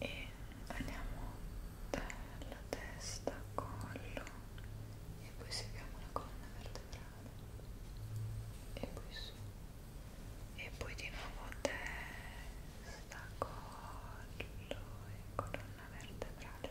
e andiamo dalla testa, collo e poi seguiamo la colonna vertebrale e poi su e poi di nuovo testa, collo e colonna vertebrale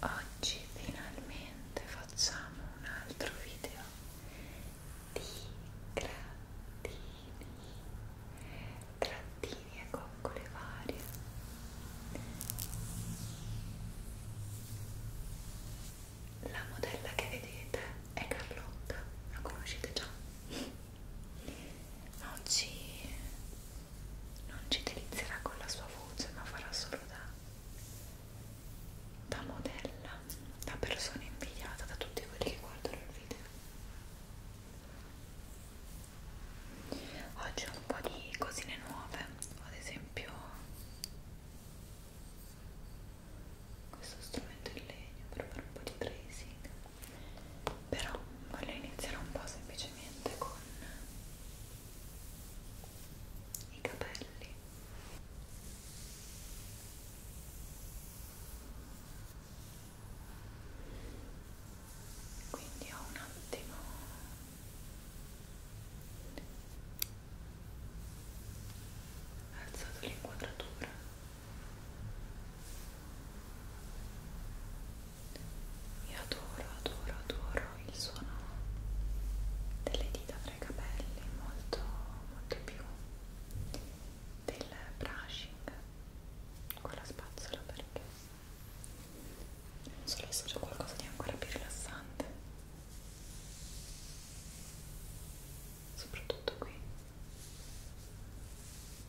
Oggi finalmente facciamo un altro video di grattini, grattini e coccole varie. La modella che vedete è Carlotta, la conoscete già. Oggi non ci delizierà con la sua voce ma farà solo da, da modella, da persona invidiata da tutti quelli che guardano il video. Oggi ho un po' di cosine nuove, ad esempio questo strumento in legno per fare un po' di tracing però voglio iniziare un po' semplicemente con i capelli quindi ho un attimo alzato l'inquadratura io adoro, adoro, adoro il suono delle dita tra i capelli, molto, molto più del brushing con la spazzola perché non solo c'è qualcosa di ancora più rilassante, soprattutto qui.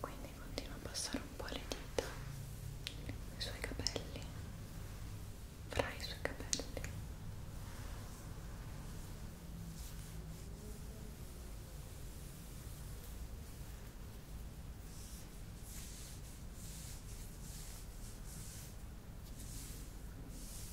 quindi continua a passare un po' le dita sui suoi capelli fra i suoi capelli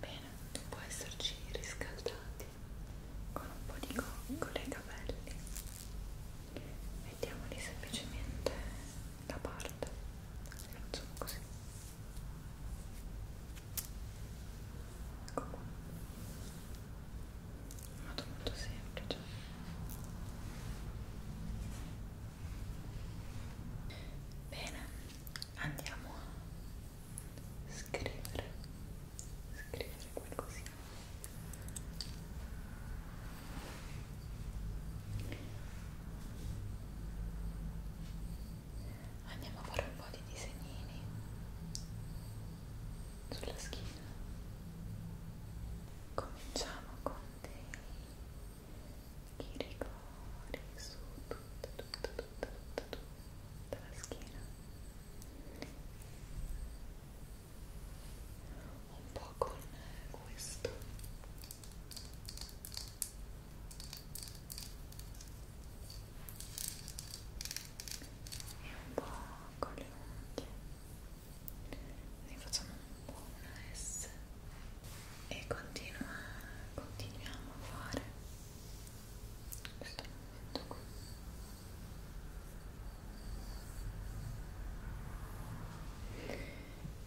Bene, può esserci riscaldati con un po' di coccole i capelli. Mettiamoli semplicemente da parte, facciamo così ecco qua un modo molto semplice bene andiamo a scrivere scrivere qualcosina andiamo a fare un po' di disegnini sulla schiena cominciamo con dei rigori su tutta tutta tutta tutta tutta la schiena un po' con questo e un po' con le unghie ne facciamo un po' una S e continua, continuiamo a fare questo movimento qui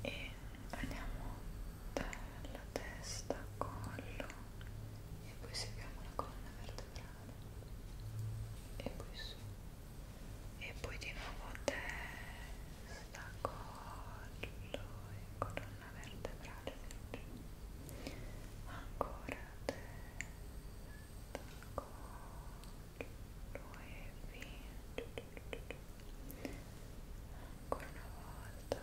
e andiamo da la testa, collo e poi seguiamo la colonna vertebrale e poi su e poi di nuovo testa, collo e colonna vertebrale ancora testa, collo e via ancora una volta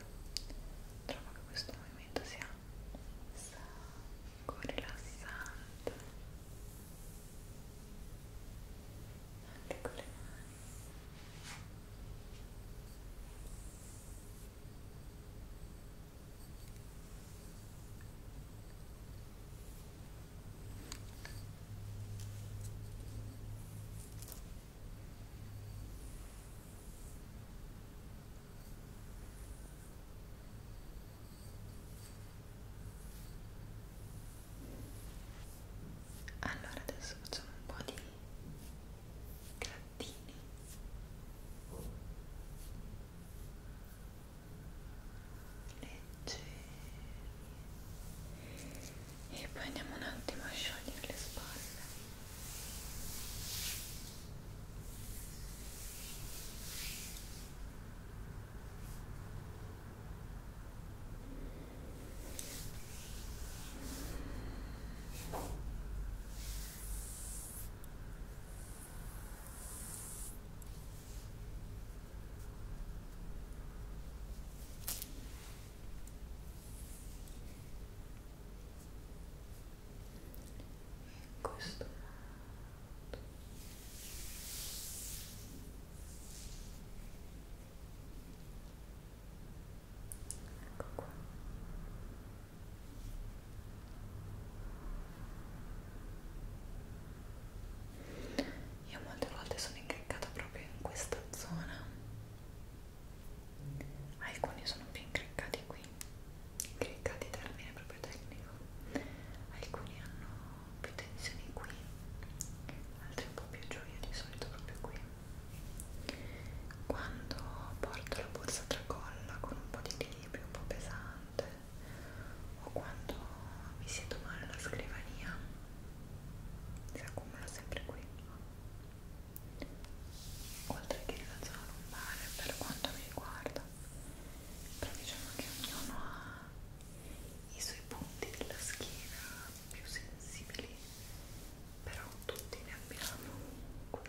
trovo che questo movimento sia un sacco rilassante anche con le mani Ecco, allora adesso facciamo un po' di grattini. Leggeri e poi andiamo un attimo a sciogliere le spalle in questo modo ecco qua io molte volte sono in incriccata proprio in questa zona alcuni sono più incriccati qui incriccati termine proprio tecnico alcuni hanno più tensioni qui altri un po' più giù io di solito proprio qui quando porto la borsa tracolla con un po' di equilibrio un po' pesante o quando mi siedo male alla scrivania si accumula sempre qui oltre che nella zona lombare per quanto mi riguarda però diciamo che ognuno ha i suoi punti della schiena più sensibili però tutti ne abbiamo qui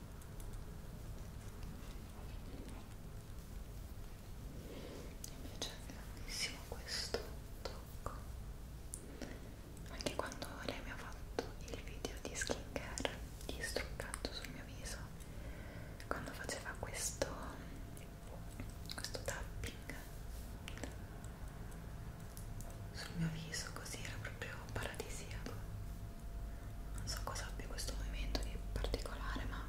mi piace tantissimo questo tocco anche quando lei mi ha fatto il video di skincare di struccato sul mio viso quando faceva questo questo tapping sul mio viso così era proprio paradisiaco non so cosa abbia questo movimento di particolare ma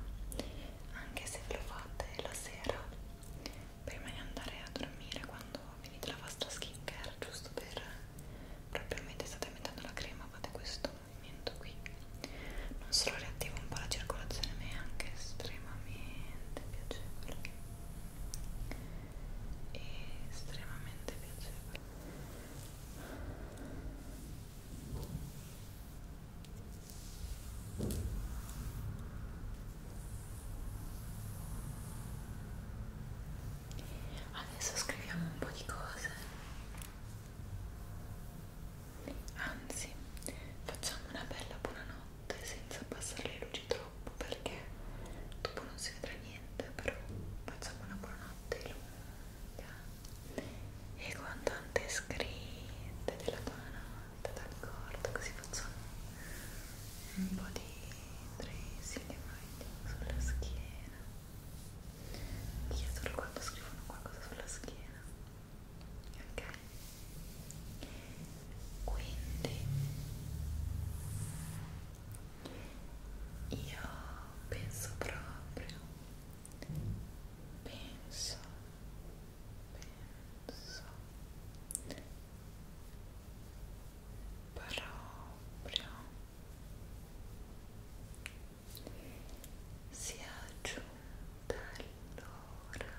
anche se lo fate la sera prima di andare a dormire quando finite la vostra skincare giusto per proprio mentre state mettendo la crema fate questo movimento qui non solo riattiva un po' la circolazione ma è anche estremamente piacevole e estremamente piacevole adesso scriviamo un po' di cose anzi facciamo una bella buonanotte senza abbassare le luci troppo troppo perché dopo non si vedrà niente però facciamo una buonanotte lunga e con tante scritte della buonanotte d'accordo così facciamo un po' di tracing sulla schiena chiedono quando scrivono qualcosa sulla schiena ok quindi io penso proprio penso penso proprio sia giunta l'ora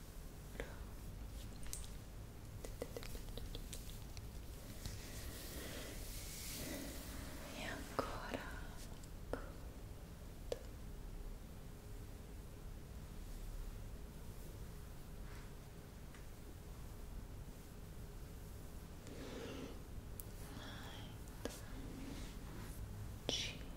e ancora conto nine, 5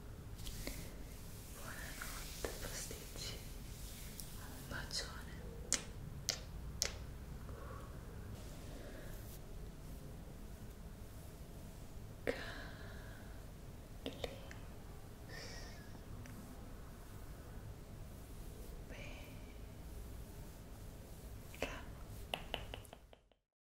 Buonanotte pasticci. Un bacione. Calli. Beh.